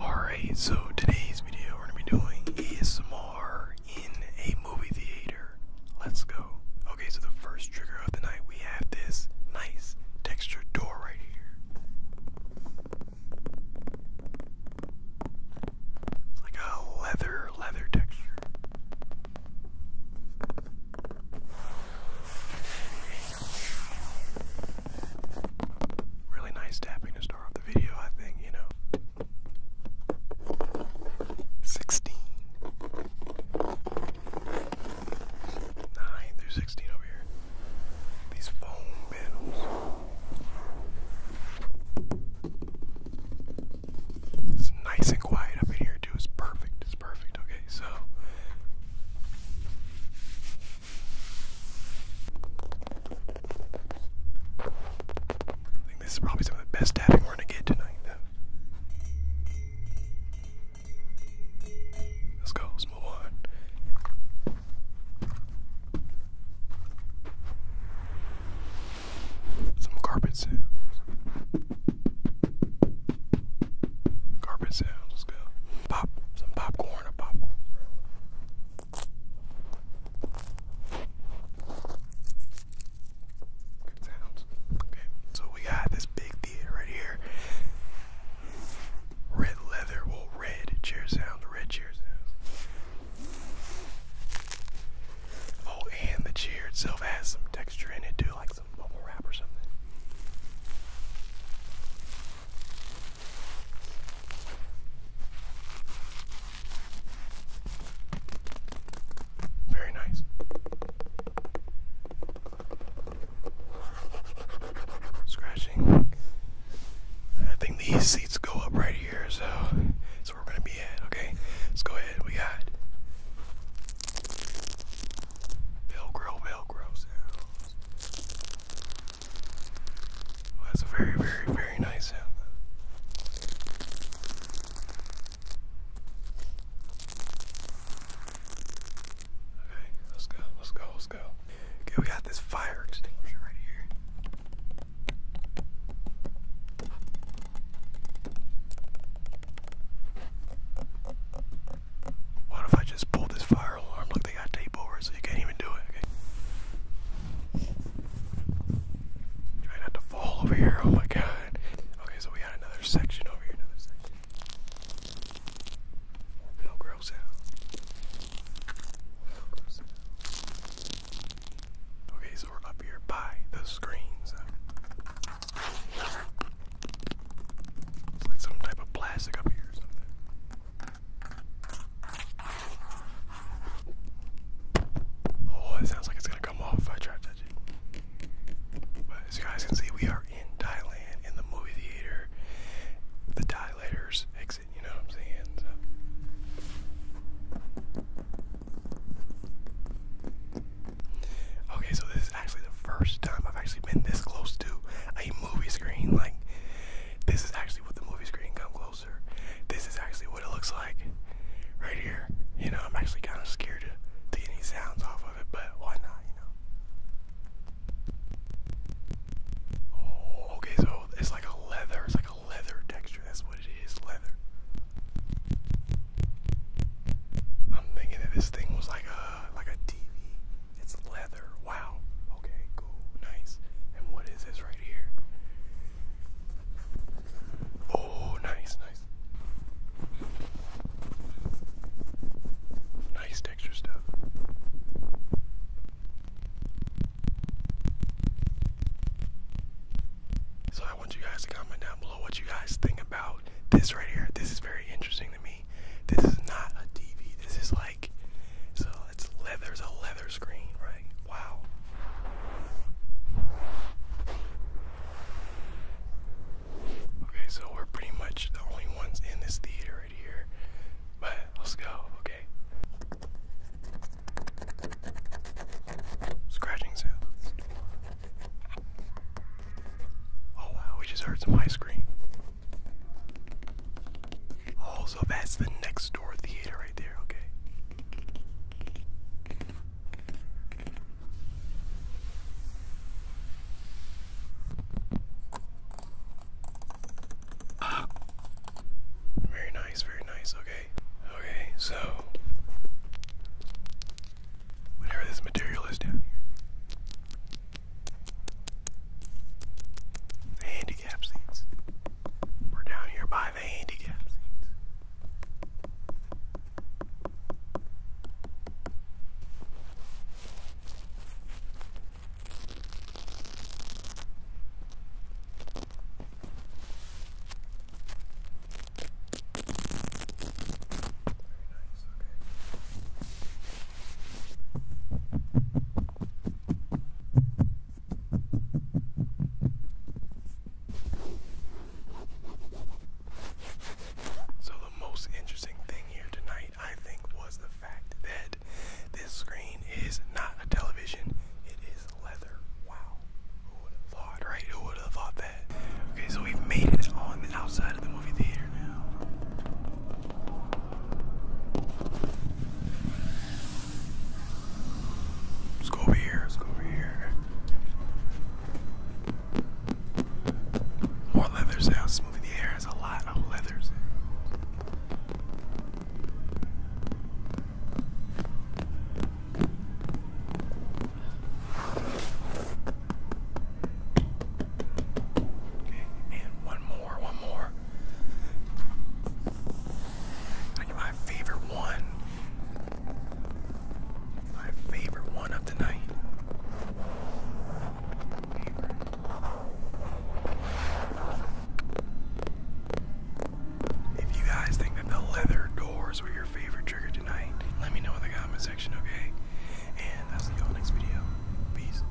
Alright, so today's video we're going to be doing ASMR in a movie theater. Let's go. Okay, so the first trigger of the night we have this nice textured door right here. It's like a leather, leather texture. Really nice tapping to start off the video, I think, you know. 16. through 16 over here. These foam panels. It's nice and quiet up in here, too. It's perfect. It's perfect. Okay, so. I think this is probably some of the best tapping we're gonna get tonight, Let's go, move on. Some carpet sounds. Carpet sounds, let's go. Pop, some popcorn, a popcorn. Good sounds. Okay, so we got this big theater right here. Red leather, well, red chair sounds, red chair Oh, and the chair itself has some texture in it too, like some bubble wrap or something. Very nice. Scratching. I think these seats go up right here, so that's where we're gonna be at. Okay, let's go ahead. We got Velcro, Velcro sounds that's a very, very, very nice sound. Okay, let's go, let's go, let's go. Okay, we got this fire extinguisher right here. What if I just pull this fire alarm they got tape over so you can't even do it. Okay. Try not to fall over here. Oh my god. Okay, so we got another section over here. More Velcro sound. Okay, so we're up here by the screens. some type of plastic up here Oh, it sounds like it's gonna come off I try to as you guys can see, we are in Thailand in the movie theater. The dilators exit, you know what I'm saying? Okay, so this is actually the first time I've actually been this close to a movie screen. Like, this is actually what the movie screen come closer. This is actually what it looks like right here. You know, I'm actually kind of scared to, to any sounds off of it, but why not, you know? Oh, okay, so it's like a leather, it's like a leather texture. That's what it is, leather. I'm thinking that this thing was like a like a TV, it's leather. Wow. Okay, cool. Nice. And what is this right here? Oh, nice, nice. Nice texture stuff. So I want you guys to comment down below what you guys think about this right here. This is very interesting to me. This is not a TV. This is like so it's leather's a leather screen, right? Wow. Okay, so we're pretty much the only ones in this theater right here. But let's go, okay? Scratching sounds. Oh wow, we just heard some ice cream. Oh, so that's the next door theater right there, okay. Very nice, very nice, okay. Okay, so whatever this material is down here handicap seats. We're down here by the handicap seats. So, the most interesting thing here tonight, I think, was the fact that this screen is not a television, it is leather. Wow. Who would have thought, right? Who would have thought that? Okay, so we've made it on the outside of the movie theater now. Let's go over here. Let's go over here. More leather sounds. Smoothing the air has a lot of leathers. and one more, one more my favorite one. My favorite one of the night. If you guys think that the leather doors were your favorite trigger tonight, let me know in the comment section, okay? And I'll all next video. Peace.